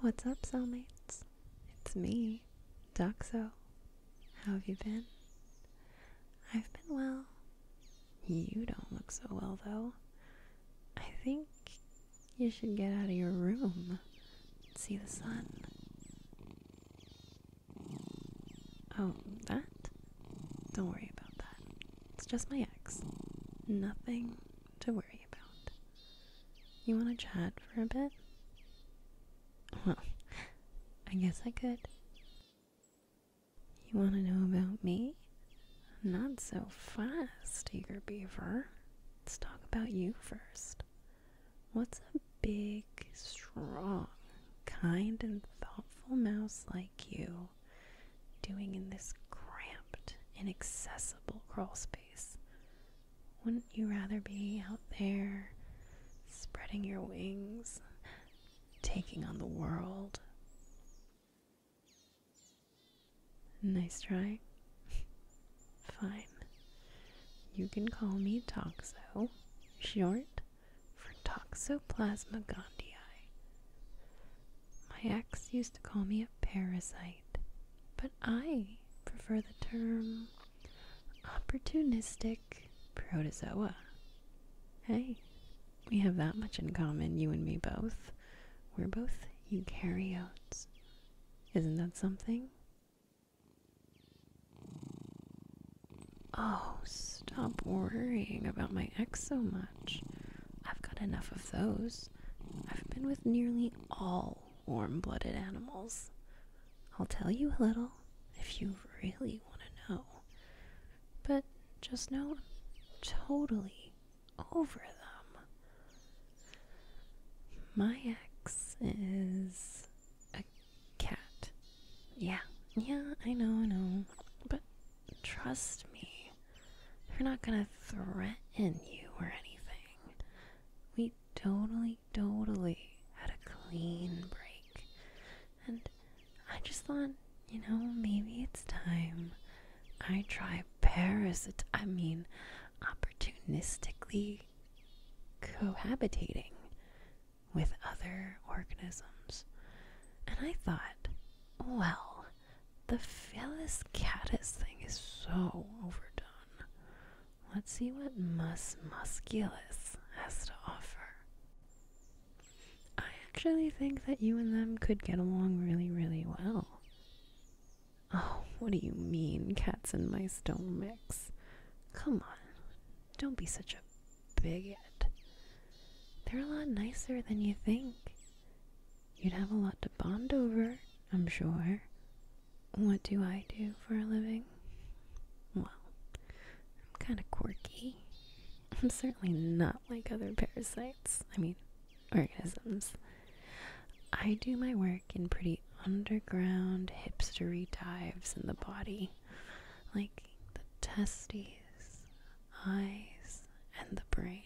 What's up, soulmates? It's me, Doxo. How have you been? I've been well. You don't look so well, though. I think you should get out of your room and see the sun. Oh, that? Don't worry about that. It's just my ex. Nothing to worry about. You want to chat for a bit? Well, I guess I could. You want to know about me? Not so fast, eager beaver. Let's talk about you first. What's a big, strong, kind, and thoughtful mouse like you doing in this cramped, inaccessible crawl space? Wouldn't you rather be out there, spreading your wings, taking on the world? Nice try. Fine. You can call me Toxo, short for Toxoplasma gondii. My ex used to call me a parasite, but I prefer the term opportunistic protozoa. Hey, we have that much in common, you and me both. We're both eukaryotes. Isn't that something? Oh, stop worrying about my ex so much. I've got enough of those. I've been with nearly all warm blooded animals. I'll tell you a little if you really want to know. But just know totally over them. My ex is a cat. Yeah, yeah, I know, I know. But trust me, we are not gonna threaten you or anything. We totally, totally had a clean break. And I just thought, you know, maybe it's time I try parasit I mean opportunistically cohabitating with other organisms. And I thought, well, the Phyllis caddis thing is so overdone. Let's see what Mus musculus has to offer. I actually think that you and them could get along really, really well. Oh, what do you mean cats and mice don't mix? Come on, don't be such a bigot. They're a lot nicer than you think. You'd have a lot to bond over, I'm sure. What do I do for a living? Well, I'm kind of quirky. I'm certainly not like other parasites. I mean, organisms. I do my work in pretty underground hipstery dives in the body, like the testes, eyes, and the brain,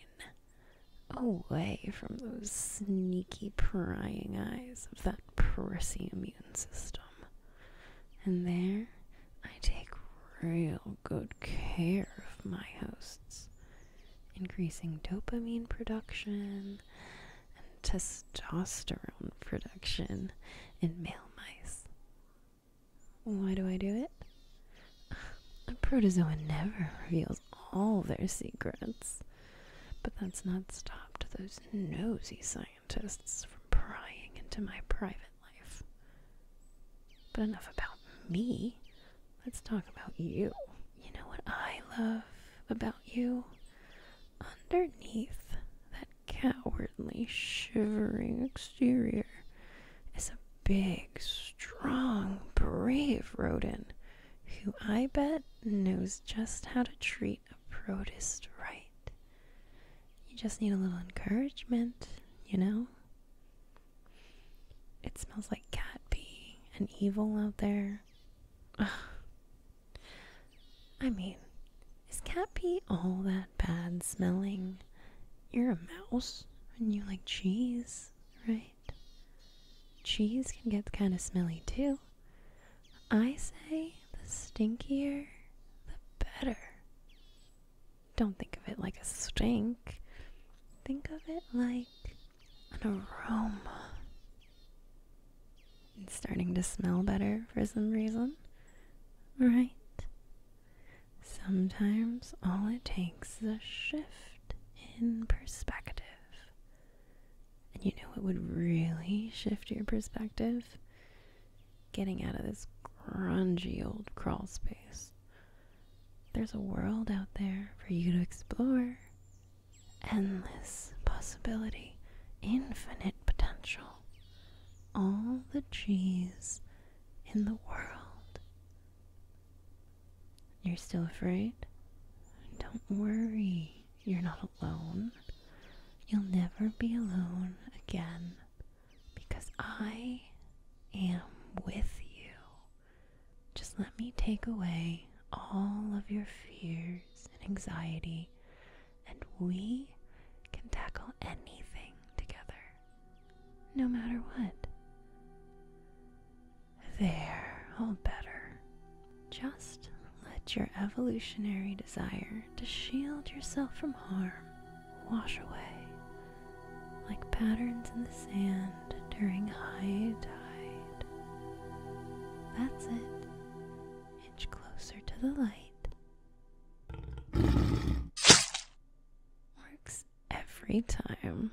away from those sneaky prying eyes of that prissy immune system. And there, I take real good care of my hosts, increasing dopamine production testosterone production in male mice. Why do I do it? A protozoa never reveals all their secrets, but that's not stopped those nosy scientists from prying into my private life. But enough about me. Let's talk about you. You know what I love about you? Underneath that cowardly, shivering exterior is a big, strong, brave rodent who I bet knows just how to treat a protist right. You just need a little encouragement, you know? It smells like cat pee and evil out there. I mean, is cat pee all that bad smelling? You're a mouse and you like cheese, right? Cheese can get kind of smelly too. I say the stinkier, the better. Don't think of it like a stink. Think of it like an aroma. It's starting to smell better for some reason, right? Sometimes all it takes is a shift in perspective. And you know it would really shift your perspective? Getting out of this grungy old crawl space. There's a world out there for you to explore. Endless possibility, infinite potential. All the trees in the world. You're still afraid? Don't worry, you're not alone. You'll never be alone again because I am with you. Just let me take away all of your fears and anxiety, and we can tackle anything together, no matter what. There, all better. Just let your evolutionary desire to shield yourself from harm wash away like patterns in the sand during high tide. That's it. Inch closer to the light. Works every time.